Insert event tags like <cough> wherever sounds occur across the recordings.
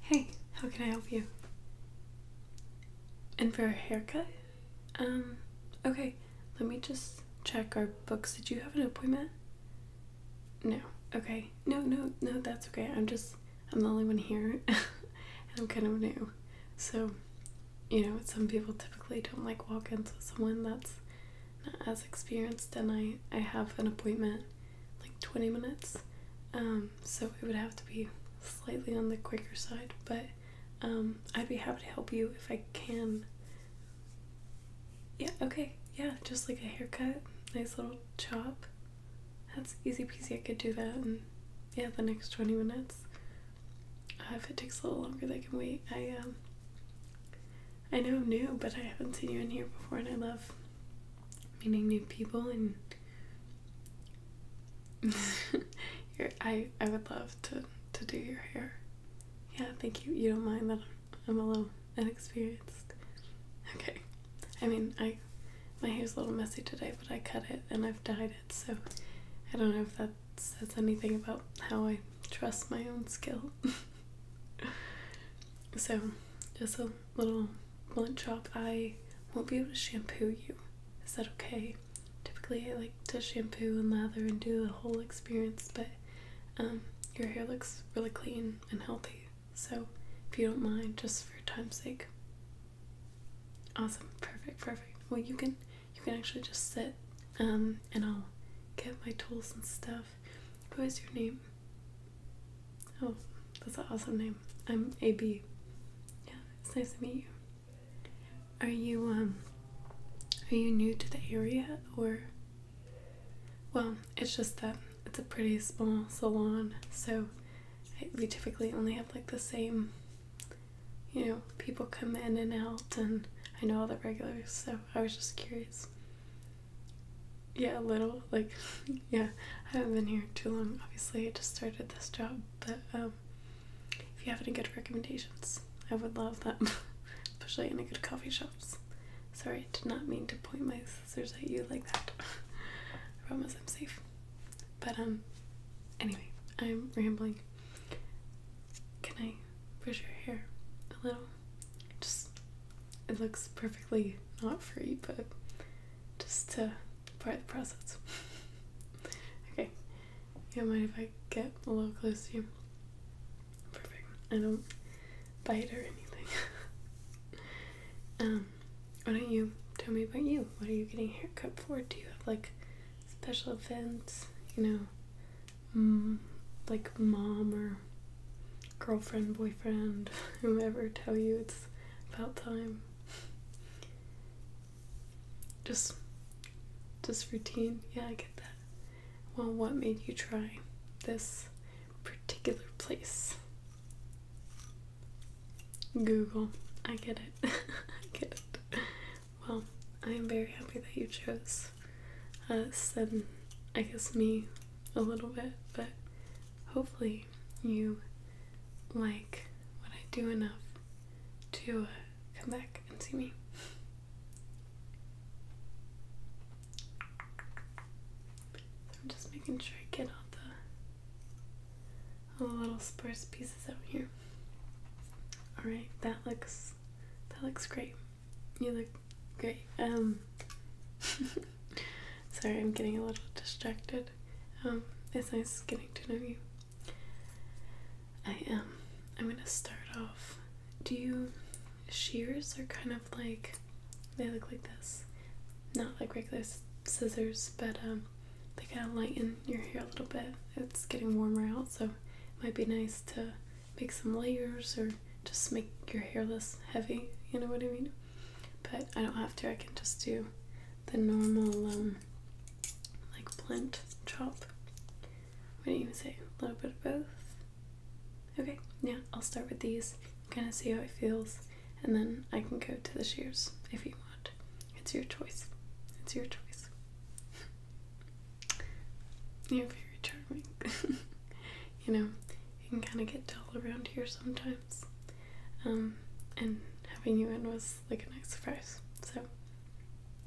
Hey, how can I help you? And for a haircut? Um, okay, let me just check our books. Did you have an appointment? No. Okay. No, no, no, that's okay. I'm just, I'm the only one here <laughs> and I'm kind of new. So, you know, some people typically don't like walk ins with someone that's not as experienced and I, I have an appointment like 20 minutes. Um, so it would have to be slightly on the quicker side, but um, I'd be happy to help you if I can. Yeah, okay, yeah, just like a haircut, nice little chop. That's easy peasy, I could do that in, yeah, the next 20 minutes. Uh, if it takes a little longer, they can wait. I, um, I know new, but I haven't seen you in here before, and I love meeting new people. And <laughs> I, I would love to to do your hair. Yeah, thank you. You don't mind that I'm, I'm a little inexperienced. Okay, I mean I my hair's a little messy today, but I cut it and I've dyed it, so I don't know if that says anything about how I trust my own skill. <laughs> so just a little blunt chop. I won't be able to shampoo you. Is that okay? Typically, I like to shampoo and lather and do the whole experience, but um, your hair looks really clean and healthy. So, if you don't mind, just for time's sake. Awesome, perfect, perfect. Well, you can you can actually just sit, um, and I'll get my tools and stuff. What is your name? Oh, that's an awesome name. I'm AB. Yeah, it's nice to meet you. Are you um are you new to the area or well, it's just that it's a pretty small salon, so we typically only have like the same you know, people come in and out and I know all the regulars, so I was just curious. Yeah, a little. Like, <laughs> yeah, I haven't been here too long. Obviously, I just started this job, but um, if you have any good recommendations, I would love them, <laughs> especially in a good coffee shops. Sorry, I did not mean to point my scissors at you like that. <laughs> I promise I'm safe. But um, anyway, I'm rambling. Can I brush your hair a little? Just it looks perfectly not free, but just to part the process. <laughs> okay, you don't mind if I get a little close to you? Perfect. I don't bite or anything. <laughs> um, why don't you tell me about you? What are you getting a haircut for? Do you have like special events? You know, like mom or girlfriend, boyfriend, <laughs> whomever tell you it's about time. Just just routine. Yeah, I get that. Well, what made you try this particular place? Google. I get it. <laughs> I get it. Well, I am very happy that you chose us and I guess me a little bit, but hopefully you like what I do enough to uh, come back and see me. I'm just making sure I get all the, all the little sparse pieces out here. Alright, that looks that looks great. You look Great. Um, <laughs> sorry, I'm getting a little distracted. Um, it's nice getting to know you. I am. Um, I'm gonna start off. Do you shears are kind of like they look like this, not like regular scissors, but they kind of lighten your hair a little bit. It's getting warmer out, so it might be nice to make some layers or just make your hair less heavy, you know what I mean? But I don't have to, I can just do the normal, um, like blunt chop. What do you even say? A little bit of both. Okay, yeah, I'll start with these, kind of see how it feels, and then I can go to the shears if you want. It's your choice. It's your choice. <laughs> You're very charming. <laughs> you know, you can kind of get dull around here sometimes. Um, and having you in was like a nice surprise. So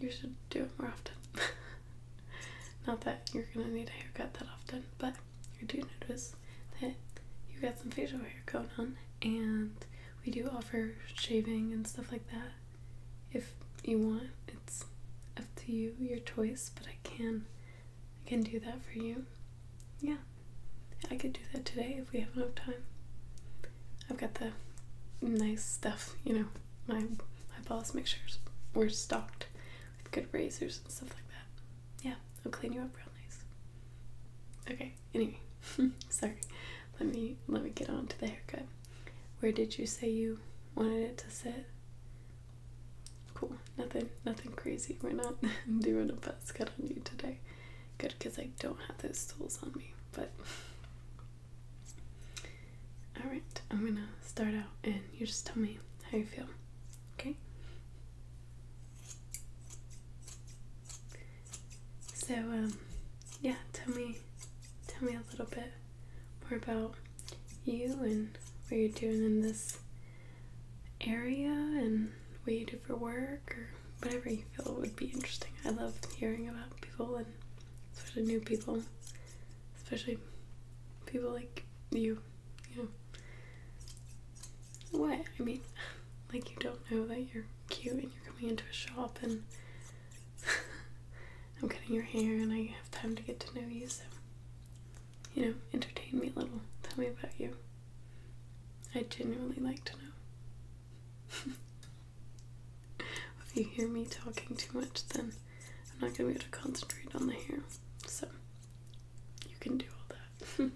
you should do it more often. <laughs> Not that you're gonna need a haircut that often, but I do notice that you got some facial hair going on, and we do offer shaving and stuff like that. If you want, it's up to you, your choice, but I can I can do that for you. Yeah, I could do that today if we have enough time. I've got the nice stuff, you know. My my boss makes sure we're stocked with good razors and stuff like that. Yeah, I'll clean you up real nice. Okay. Anyway, <laughs> sorry. Let me let me get on to the haircut. Where did you say you wanted it to sit? Cool. Nothing nothing crazy. We're not <laughs> doing a buzz cut on you today. Good, because I don't have those tools on me. But <laughs> alright, I'm gonna start out and you just tell me how you feel. Okay? So um, yeah, tell me tell me a little bit more about you and what you're doing in this area and what you do for work or whatever you feel would be interesting. I love hearing about people and especially new people, especially people like you, you know. What? I mean, <sighs> like you don't know that you're cute and you're coming into a shop and <laughs> I'm cutting your hair and I have time to get to know you, so you know, entertain me a little. Tell me about you. I genuinely like to know. <laughs> if you hear me talking too much, then I'm not going to be able to concentrate on the hair. So, you can do all that.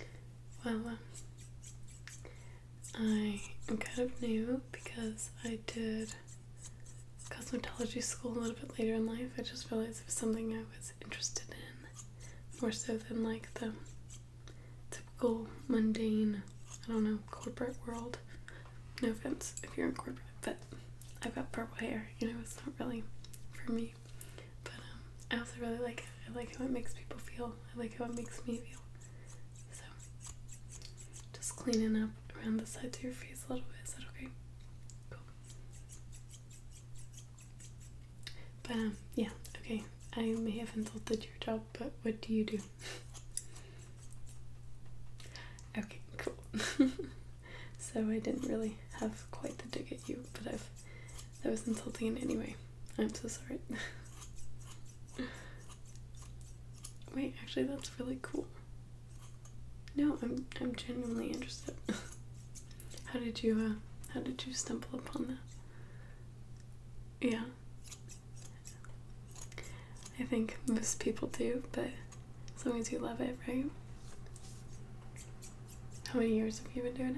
<laughs> well, um, I am kind of new because I did cosmetology school a little bit later in life. I just realized it was something I was interested in more so than like the typical mundane, I don't know, corporate world. No offense if you're in corporate, but I've got purple hair, you know, it's not really for me. But um, I also really like I like how it makes people feel. I like how it makes me feel. So, just cleaning up around the sides of your face a little bit. Is that okay? Cool. But um, yeah, okay. I may have insulted your job, but what do you do? <laughs> okay, cool. <laughs> so I didn't really have quite the dig at you, but I've that was insulting in any way. I'm so sorry. <laughs> Wait, actually that's really cool. No, I'm I'm genuinely interested. <laughs> how did you uh, how did you stumble upon that? Yeah. I think most people do, but as long as you love it, right? How many years have you been doing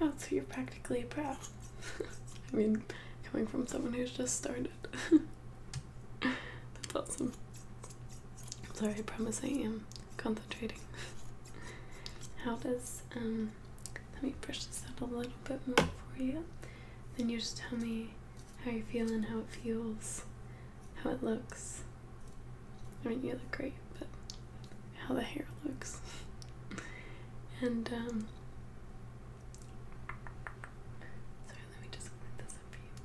it? Oh, so you're practically a pro. <laughs> I mean, coming from someone who's just started. <laughs> That's awesome. i sorry, I promise I am concentrating. How does, um, let me brush this out a little bit more for you. Then you just tell me how you feel and how it feels, how it looks. I mean, you look great, but how the hair looks. <laughs> and, um, Sorry, let me just clean this up for you.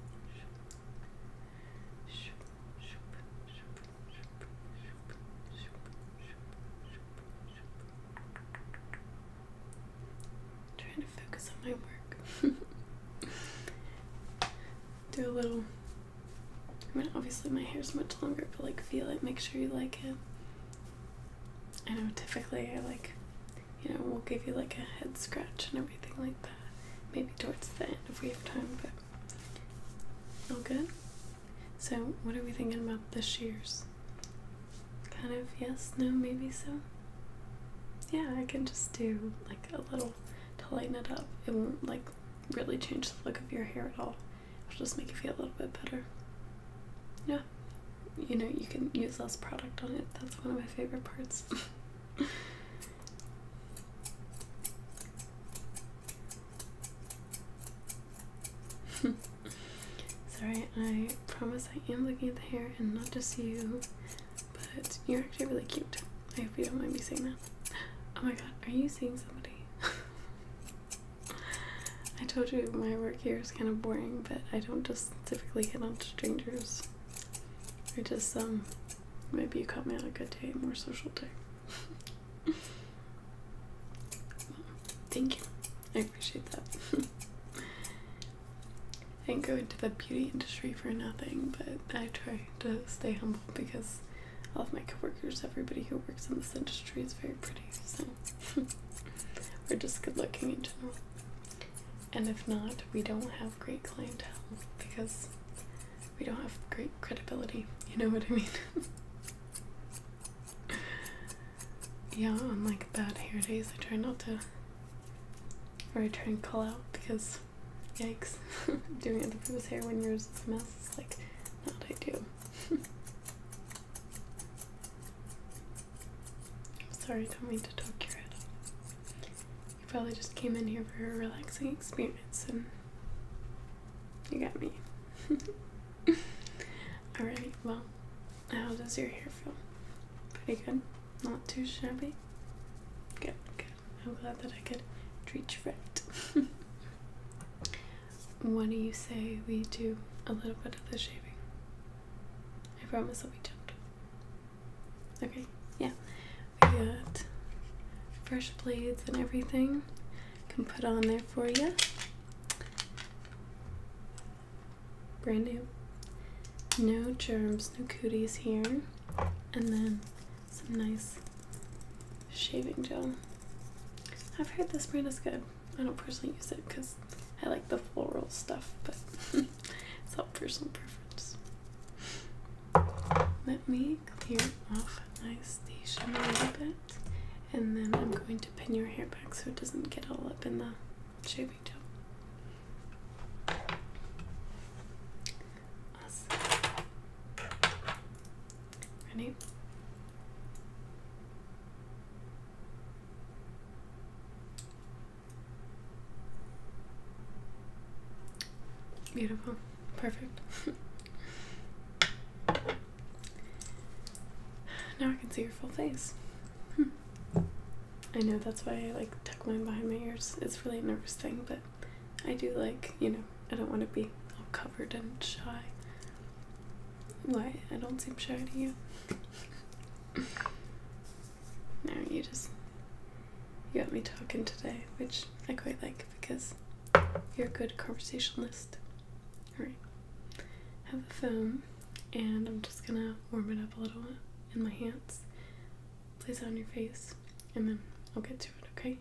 Trying to focus on my work. <laughs> Do a little. I mean, obviously my hair is much longer, but like feel it, make sure you like it. I know typically I like you know, we'll give you like a head scratch and everything like that. Maybe towards the end if we have time, but all good. So, what are we thinking about the shears? Kind of yes, no, maybe so. Yeah, I can just do like a little to lighten it up. It won't like really change the look of your hair at all. It'll just make you feel a little bit better. Yeah, you know you can use less product on it. That's one of my favorite parts. <laughs> Sorry, I promise I am looking at the hair and not just you, but you're actually really cute. I hope you don't mind me saying that. Oh my god, are you seeing somebody? <laughs> I told you my work here is kind of boring, but I don't just typically hit on strangers. I just um maybe you caught me on a good day, more social day. <laughs> Thank you. I appreciate that. I didn't go into the beauty industry for nothing, but I try to stay humble because all of my coworkers, everybody who works in this industry is very pretty, so <laughs> we're just good looking in general. And if not, we don't have great clientele because we don't have great credibility. You know what I mean? <laughs> yeah, on like bad hair days, I try not to, or I try and call out because, yikes, <laughs> doing other people's hair when yours is a mess is like not ideal. <laughs> Sorry, don't mean to talk your head You probably just came in here for a relaxing experience and you got me. <laughs> Alright, well, how does your hair feel? Pretty good? Not too shabby? Good, good. I'm glad that I could treat you right. <laughs> what do you say we do a little bit of the shaving? I promise I'll be gentle. Okay, yeah. We got fresh blades and everything. Can put on there for you. Brand new. No germs, no cooties here. And then some nice shaving gel. I've heard this brand is good. I don't personally use it because I like the floral stuff, but <laughs> it's all personal preference. Let me clear off my station a little bit, and then I'm going to pin your hair back so it doesn't get all up in the shaving gel. Ready? Beautiful. Perfect. now I can see your full face. Hmm. I know that's why I like tuck mine behind my ears. It's really a nervous thing, but I do like, you know, I don't want to be all covered and shy. Why? I don't seem shy to you. <laughs> Now you just you got me talking today, which I quite like because you're a good conversationalist. Alright. Have a foam and I'm just gonna warm it up a little in my hands. Place it on your face and then I'll get to it, okay?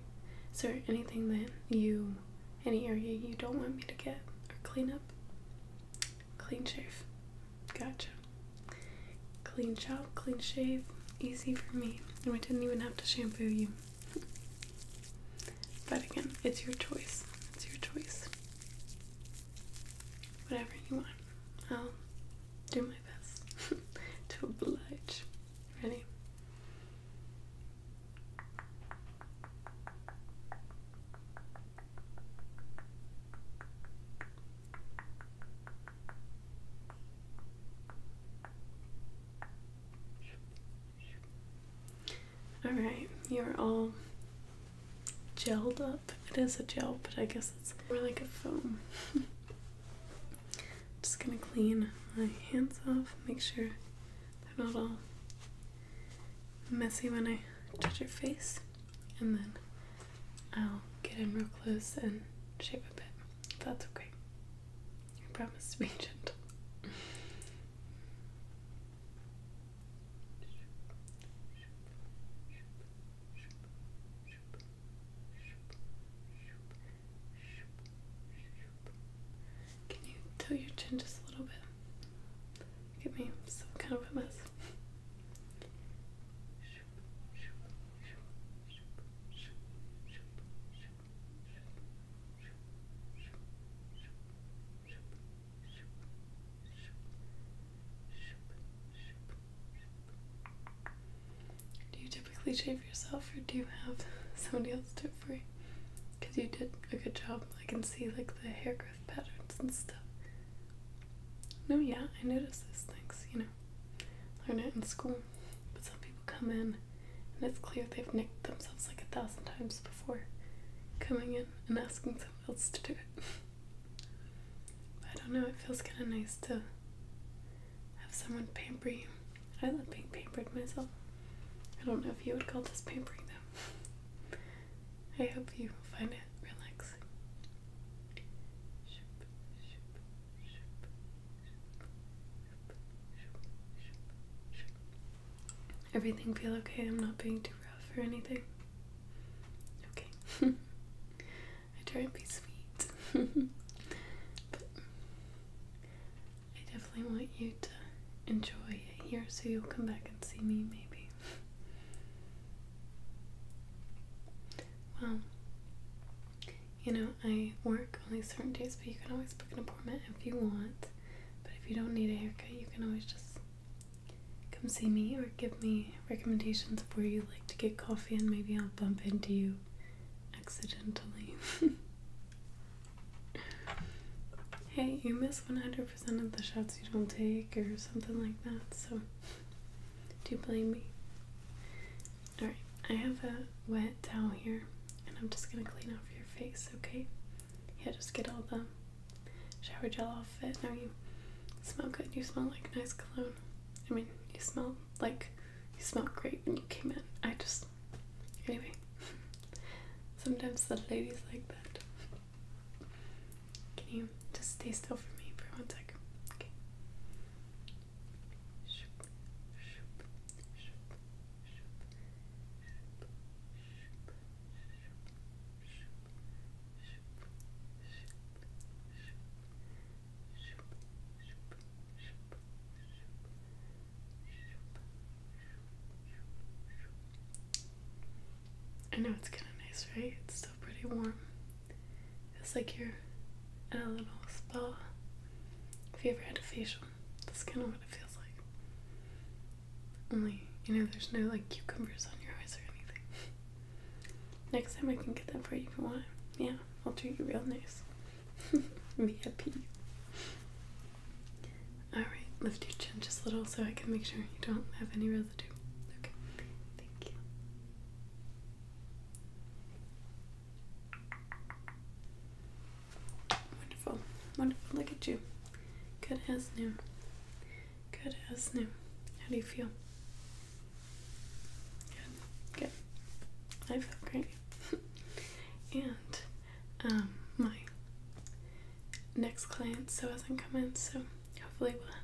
Is there anything that you any area you don't want me to get or clean up? Clean shave. Gotcha. Clean chop, clean shave, easy for me. And we didn't even have to shampoo you. <laughs> but again, it's your choice. It's your choice. Whatever you want. I'll do my best <laughs> to oblige. Ready? All right, you're all gelled up. It is a gel, but I guess it's more like a foam. <laughs> Just gonna clean my hands off, make sure they're not all messy when I touch your face and then I'll get in real close and shave a bit. that's okay. I promise to be <laughs> gentle. Can you tilt your chin just a little bit? Give me some kind of a mess. Do you typically shave yourself or do you have <laughs> somebody else do it for you? Because you did a good job. I can see like the hair growth patterns and stuff. No, yeah, I notice those things, you know. Learn it in school. But some people come in and it's clear they've nicked themselves like a thousand times before coming in and asking someone else to do it. <laughs> I don't know, it feels kind of nice to have someone pamper you. I love being pampered myself. I don't know if you would call this pampering though. <laughs> I hope you find it relaxing. Everything feel okay? I'm not being too rough or anything. Okay. <laughs> I try and be sweet. <laughs> I definitely want you to enjoy it here so you'll come back and see me maybe. Well, you know, I work only certain days, but you can always book an appointment if you want. But if you don't need a haircut, you can always just come see me or give me recommendations of where you like to get coffee, and maybe I'll bump into you accidentally. <laughs> hey, you miss 100% of the shots you don't take, or something like that, so do you blame me? Alright, I have a wet towel here and I'm just gonna clean off your face, okay? Yeah, just get all the shower gel off it. Now you smell good. You smell like nice cologne. I mean, you smell like you smell great when you came in. I just anyway. <laughs> Sometimes the ladies like that. Can you just stay still for me for one sec? Okay. I know it's kind of nice, right? It's still pretty warm. It's like you're in a little spa. If you ever had a facial, that's kind of what it feels like. Only, you know, there's no like cucumbers on your eyes or anything. Next time I can get that for you if you want. Yeah, I'll treat you real nice. <laughs> VIP. Alright, lift your chin just a little so I can make sure you don't have any really Wonderful. Wonderful. Look at you. Good as new. Good as new. How do you feel? Good. Good. I feel great. <laughs> and um, my next client so hasn't come in so hopefully we'll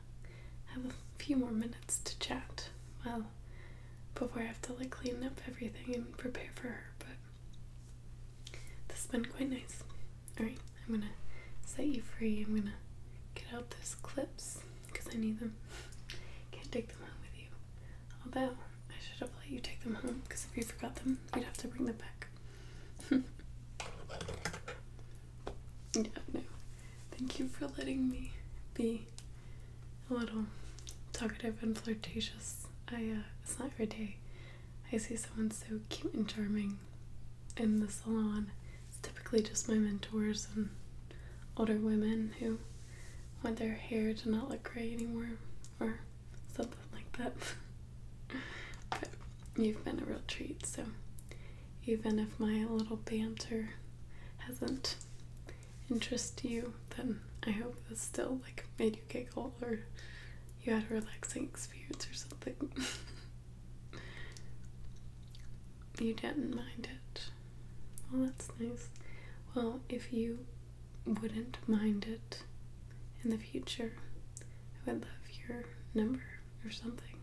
have a few more minutes to chat. Well, before I have to like clean up everything and prepare for her, but this has been quite nice. Alright, I'm gonna set you free. I'm gonna get out those clips because I need them. Can't take them home with you. Although, I should have let you take them home because if you forgot them, you'd have to bring them back. yeah, <laughs> no. Thank you for letting me be a little talkative and flirtatious. I uh, it's not every day I see someone so cute and charming in the salon. It's typically just my mentors and older women who want their hair to not look gray anymore or something like that. <laughs> but you've been a real treat, so even if my little banter hasn't interested you, then I hope this still like made you giggle or you had a relaxing experience or something. <laughs> you didn't mind it. Well, that's nice. Well, if you wouldn't mind it in the future, I would love your number or something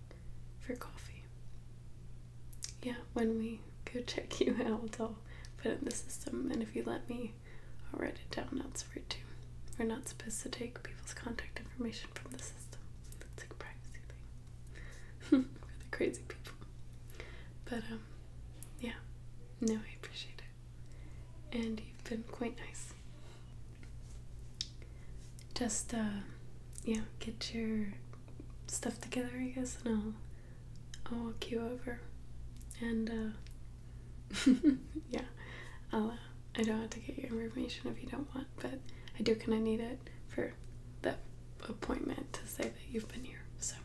for coffee yeah, when we go check you out, I'll put it in the system. And if you let me, I'll write it down That's for elsewhere too. We're not supposed to take people's contact information from the system. It's like privacy thing <laughs> for the crazy people. But um, yeah, no, I appreciate it. And you've been quite nice just uh, yeah get your stuff together I guess and I'll I'll walk you over and uh, <laughs> yeah uh, i don't have to get your information if you don't want but I do kind of need it for that appointment to say that you've been here so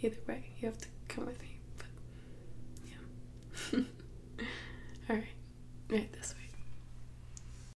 either way you have to come with me but yeah <laughs> all right right this way